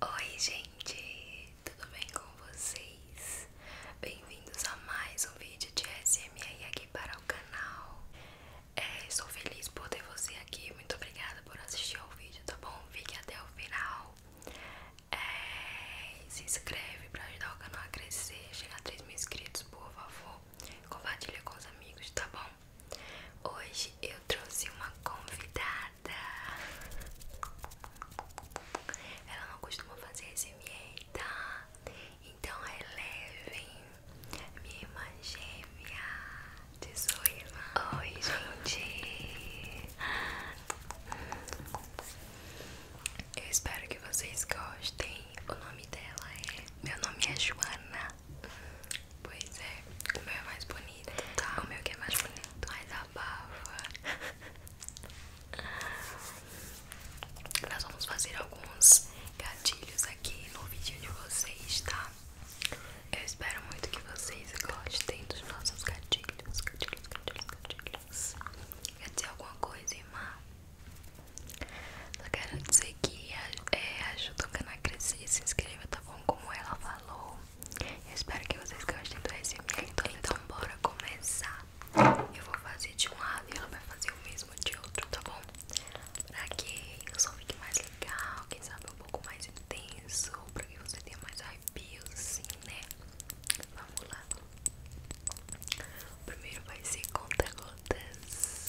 Oi, gente, tudo bem com vocês? Bem-vindos a mais um vídeo de SMR aqui para o canal. É, estou feliz por ter você aqui. Muito obrigada por assistir ao vídeo, tá bom? Fique até o final. É, se inscreve para ajudar o canal a crescer, chegar a 3 mil inscritos, por favor compartilha com os amigos, tá bom? Hoje eu trouxe uma convidada. Ela não costuma fazer SMR, tá? Então relevem é minha irmã gêmea de sua Oi, gente. Hum. Eu espero que vocês gostem. O nome dela é. Meu nome é Joana. Pois é, o meu é mais bonito, tá? O meu que é mais bonito, mais abafa. Nós vamos fazer alguns gatilhos aqui no vídeo de vocês, tá? Eu espero muito que vocês gostem dos nossos gatilhos. Gatilhos, gatilhos, gatilhos. Quer dizer alguma coisa, irmã? Só quero dizer que é, ajuda o canal a crescer. Se inscreva, tá bom? Como ela falou. espero que vocês gostem do SMR. Então, então, bora começar. Eu vou fazer de um lado e ela vai fazer o mesmo de outro, tá bom? Pra que o som fique mais legal, quem sabe um pouco mais intenso. Pra que você tenha mais arrepios, assim, né? Vamos lá, primeiro vai ser conta-gotas.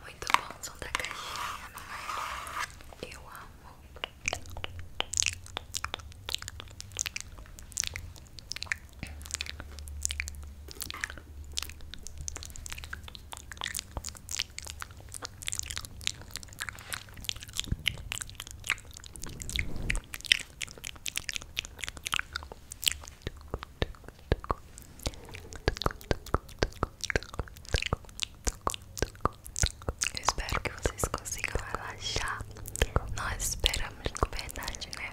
Muito bom o da caixinha, é? Eu amo. Eu espero que vocês consigam relaxar. Nós esperamos, com verdade, né?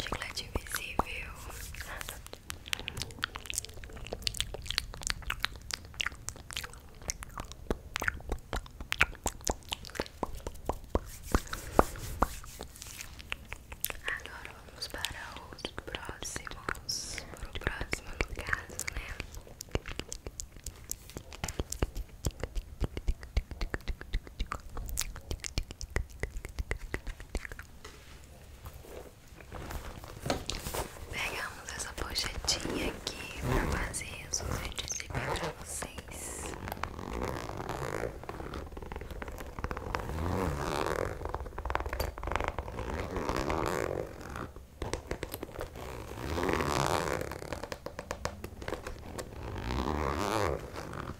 Chiclete invisível. Agora vamos para outros próximos. Para o próximo, no caso, né? Pegamos essa pochetinha aqui pra fazer os vídeos de bem pra vocês.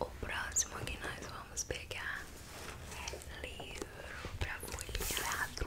O próximo que nós vamos pegar é livro para folheados.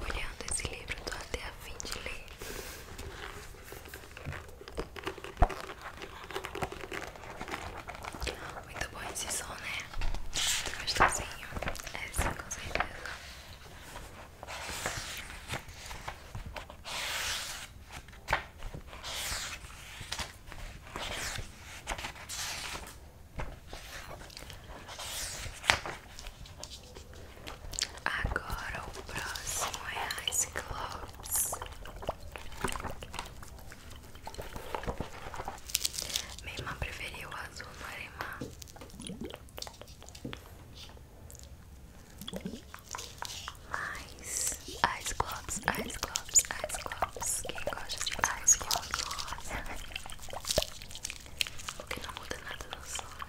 Olhando esse livro, tô até a fim de ler. Muito bom esse som, né? Gostosinho. É sim, com certeza. Agora o próximo é Ice Cyclops. Minha preferiu o azul no alemã. Eyes, eyes globs, eyes globs, eyes globs. Quem gosta de eyes globs? Porque não muda nada no som. Né?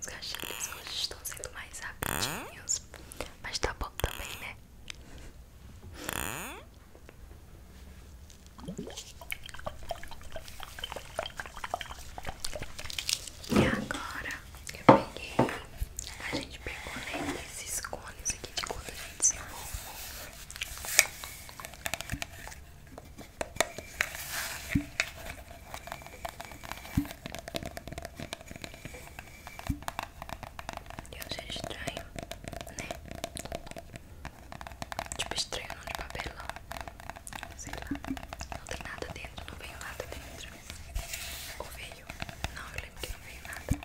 os gatilhos hoje estão sendo mais rápidos, mas tá bom também, né? E agora eu peguei, a gente pegou né, esses cones aqui de quando a gente se formou deus é estranho, né? Tipo estranho não de papelão. Sei lá. Não tem nada dentro, não veio nada dentro. Ou veio? Não, eu lembro que não veio nada.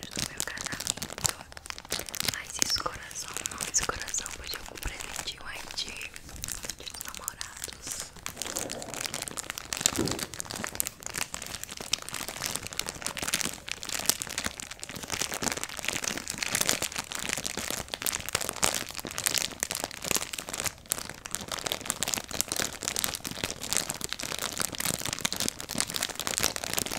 do meu casamento. Mas esse coração, não. Esse coração foi de algum presente um ID dos namorados.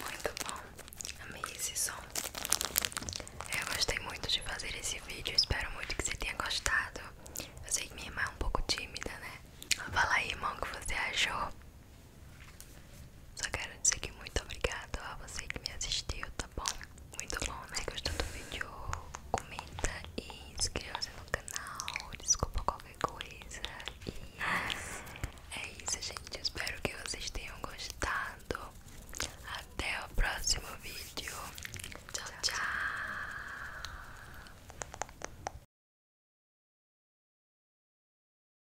Muito bom, amei esse som. Eu gostei muito de fazer esse vídeo, espero muito que você tenha gostado. Eu sei que minha irmã é um pouco tímida, né? Fala aí, irmão, o que você achou? Só quero dizer que muito obrigado a você que me assistiu, tá bom? Muito bom, né? Gostou do vídeo? Comenta e inscreva-se no canal. Desculpa qualquer coisa. E é isso, gente. Espero que vocês tenham gostado. Até o próximo vídeo. Tchau, tchau.